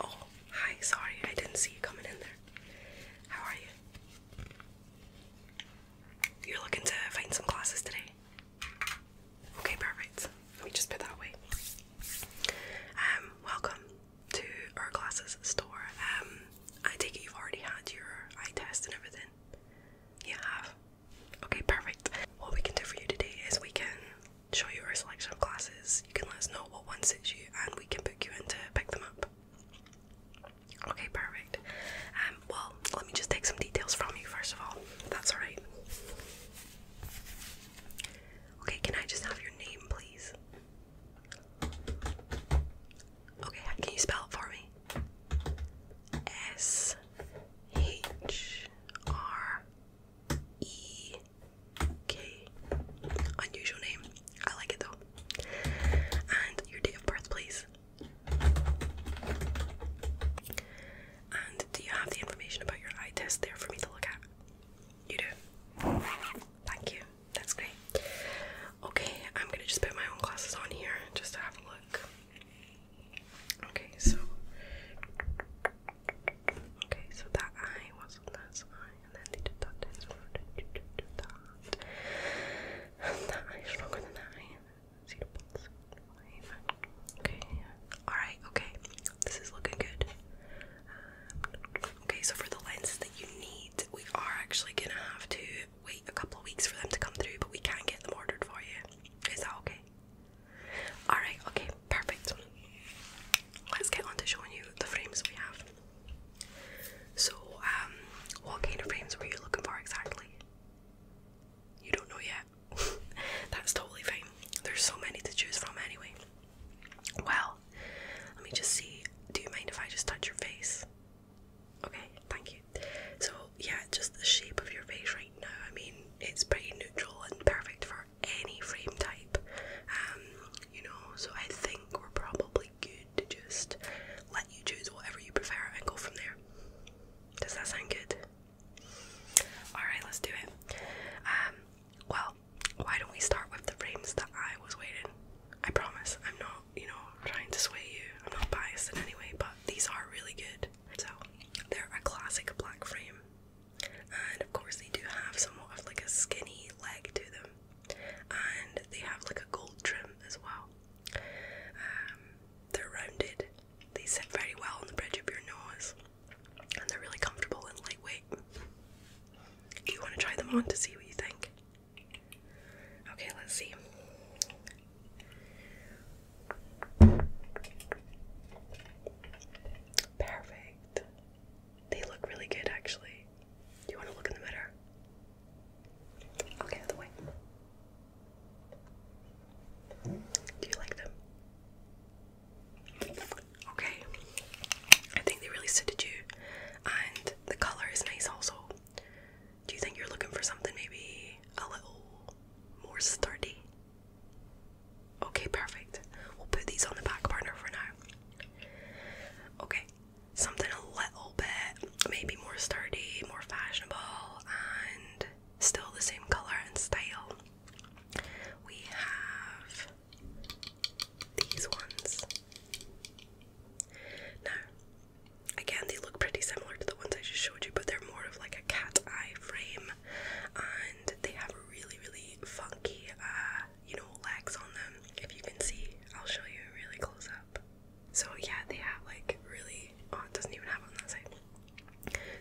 Oh, hi, sorry, I didn't see you coming in there. How are you? You're looking to find some classes today? Okay, perfect. Let me just put that away. Um, welcome to our classes store. Um, I take it you've already had your eye test and everything. You have? Okay, perfect. What we can do for you today is we can show you our selection of classes. You can let us know what one suits you and we can book you in to pick them up. Okay, perfect. Um, well, let me just take some details from you first of all, that's alright. Okay, can I just have your name, please? Okay, can you spell it for me? S H R E K. Unusual name. I like it though. And your date of birth, please. And do you have the information about your eye test there for me to look at? You do. Thank you. That's great. Okay, I'm gonna just put my own glasses on here just to have a look. Okay, so okay, so that eye was on that side, and then they did that this did that, that eye stronger than that eye. See the pulse? Okay, all right, okay, this is looking good. Um, okay, so for the lenses that you need, we are actually gonna have to wait a couple of weeks for them to come through, but we can get them ordered for you. Is that okay? Alright, okay, perfect. Let's get on to showing you the frames we have. So, um, what kind of frames were you looking for exactly? You don't know yet. That's totally fine. There's so many to choose from anyway. Well, let me just see. Do you mind if I just touch your face? Okay, thank you. So, yeah, just the shape of your face right now. I mean, it's pretty neutral and perfect for any frame type. Um, you know, so I think we're probably good to just let you choose whatever you prefer and go from there. Does that sound good? Alright, let's do it. Um, well, why don't we start with the frames that I was wearing? I promise I'm not you know, trying to sway you. I'm not biased in any way, but these are really good. So they're a classic black frame. And of course they do have somewhat of like a skinny leg to them. And they have like a gold trim as well. Um, they're rounded. They sit very well on the bridge of your nose. And they're really comfortable and lightweight. Do you want to try them on to see what you think? Okay, let's see. Perfect. They look really good actually. Do you want to look in the mirror? Okay, out of the way. Do you like them? Okay. I think they really suited you and the color is nice also. Do you think you're looking for something maybe a little more sturdy? Okay, perfect. We'll put these on the back burner for now. Okay, something a little bit maybe more sturdy, more fashionable, and still the same color and style. We have these ones. Now, again, they look pretty similar to the ones I just showed you, but they're more of like a cat eye frame, and they have really, really funky, uh, you know, legs on them. If you can see, I'll show you really close up. So yeah, they have like really. Oh, it doesn't even have on that side.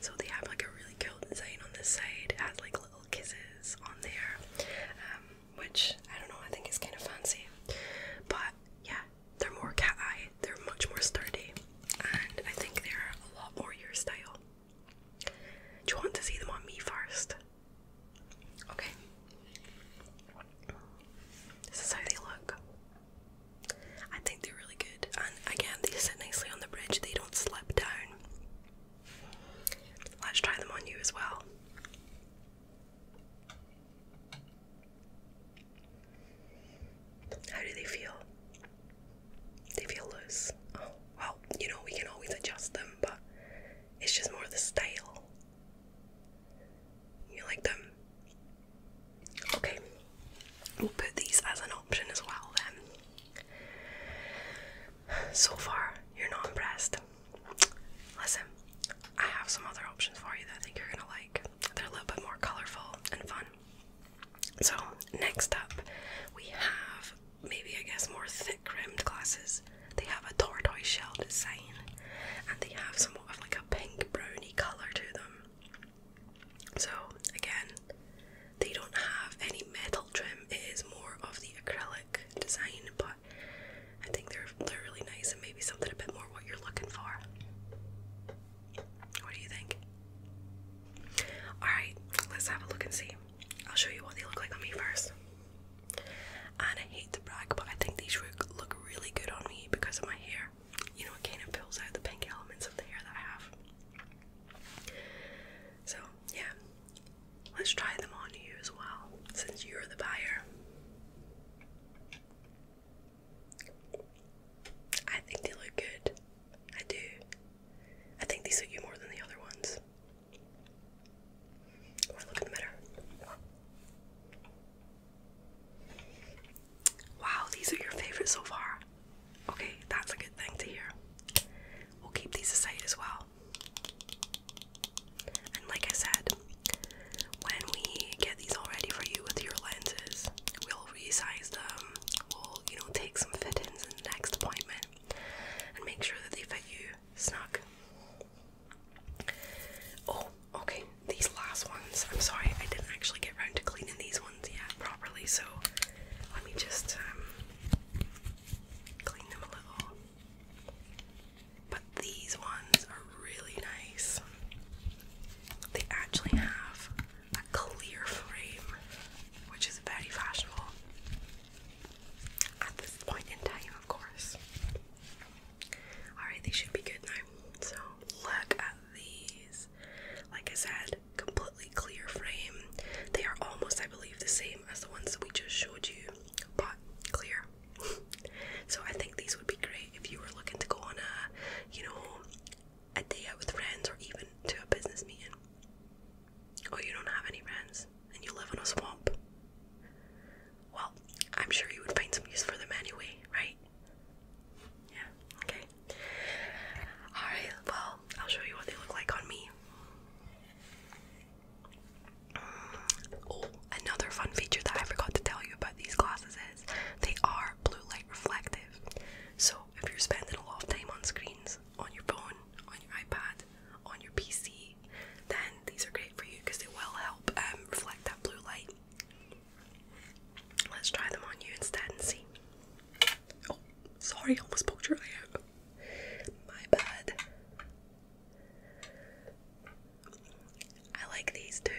So they have like a really cool design on this side. It has like little kisses on there. Um, which I don't know, I think is kind of fancy. But yeah, they're more cat eye, they're much more sturdy, and I think they're a lot more your style. Do you want to see them on me first? Okay. This is how they look. I think they're really good, and again, they sit nicely on the bridge, they don't slip down. Let's try them on you as well. How do they feel? They feel loose. Oh, well, you know, we can always adjust them, but it's just more the style. You like them? Okay, we'll put these as an option as well then. So far, you're not impressed. Listen, I have some other options for you that I think you're gonna like. They're a little bit more colorful and fun. So, next up, we have maybe, I guess, more thick rimmed glasses. They have a tortoise shell design and they have somewhat of like a pink browny colour to them. So, again, they don't have any metal trim. It is more of the acrylic design, but I think they're they're really nice and maybe something a bit more what you're looking for. What do you think? Alright, let's have a look and see. I'll show you what they look like on me first. And I hate to brag, but I think these look really good on me because of my hair. You know, it kind of pulls out the pink elements of the hair that I have. So, yeah, let's try them on you as well since you're the buyer. I think they look good. I do. I think these suit you more than the other ones. Or look in the mirror. Wow, these are your favorite so far. Okay, that's a good thing to hear. We'll keep these aside as well. And like I said, when we get these all ready for you with your lenses, we'll resize them. We'll, you know, take some fittings in the next appointment and make sure that they fit you snug. Oh, okay. These last ones. I'm sorry, I didn't actually get around to cleaning these ones yeah, properly. So let me just um, clean them a little. But these ones are really nice. They actually have a clear frame, which is very fashionable at this point in time, of course. Alright, they should be good now. So, look at these. Like I said, completely clear frame. They are almost, I believe, the same as the ones that we just showed you, but clear. so I think these would be great if you were looking to go on a, you know, a day out with friends or even to a business meeting. Or oh, you don't have any friends and you live in a swamp. Well, I'm sure you would find some use for them anyway, right? Yeah, okay. Alright, well, I'll show you what they look like on me. Mm, oh, another fun feature that I forgot to tell you about these glasses is they are blue light reflective. So if you're spending a lot of time on screens, on your phone, on your iPad, on your PC, then these are great for you because they will help um, reflect that blue light. Let's try them on you instead and see. Oh, sorry, I almost poked your eye out. My bad. I like these too.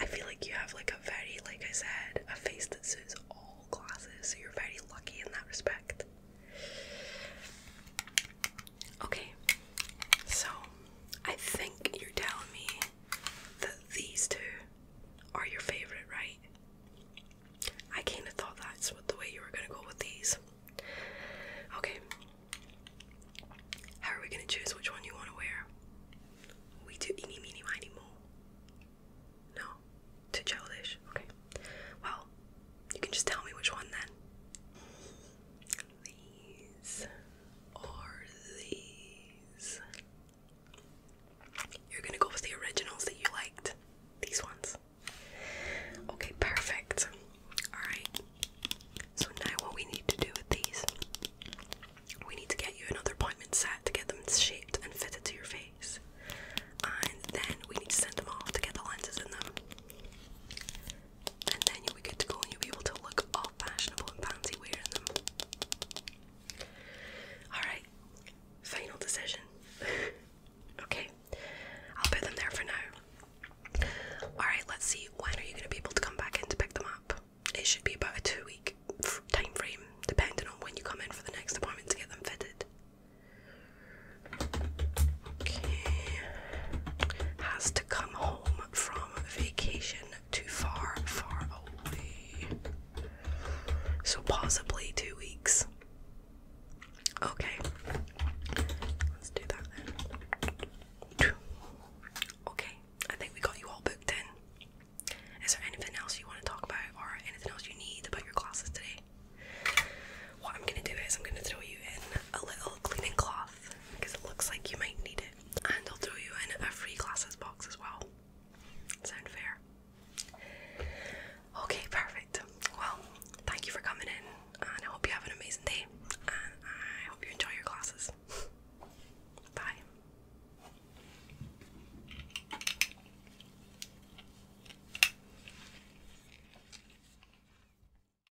I feel like you have like a very, like I said, a face that suits all classes, so you're very lucky in that respect. Okay, so I think you're telling me that these two are your favorite, right? I kind of thought that's what the way you were going to go with these. Okay. How are we going to choose which one you want to wear? We do any, mini, miny, mo. No? Too childish? Okay. Well, you can just tell me which one then. These are the you're gonna go with the originals that you liked. These ones. Okay, perfect. Alright. So now what we need to do with these, we need to get you another appointment set to get them shaped and fitted to your face. And then we need to send them off to get the lenses in them and then you'll be good to go and you'll be able to look all fashionable and fancy wearing them. Alright, final decision. okay, I'll put them there for now. Alright, let's see, when are you going to be able to come back in to pick them up? It should be about a two week time frame, depending on when you come in for the next appointment to get them fitted. Okay, has to come home from vacation too far, far away. So, possibly two weeks. Okay, let's do that Okay, I think we got you all booked in. Is there anything else you want to talk about or anything else you need about your classes today? What I'm going to do is I'm going to throw you in a little cleaning cloth because it looks like you might need it. And I'll throw you in a free glasses box as well. Sound fair? Okay, perfect. Well, thank you for coming in, and I hope you have an amazing day. And I hope you enjoy your classes. Bye.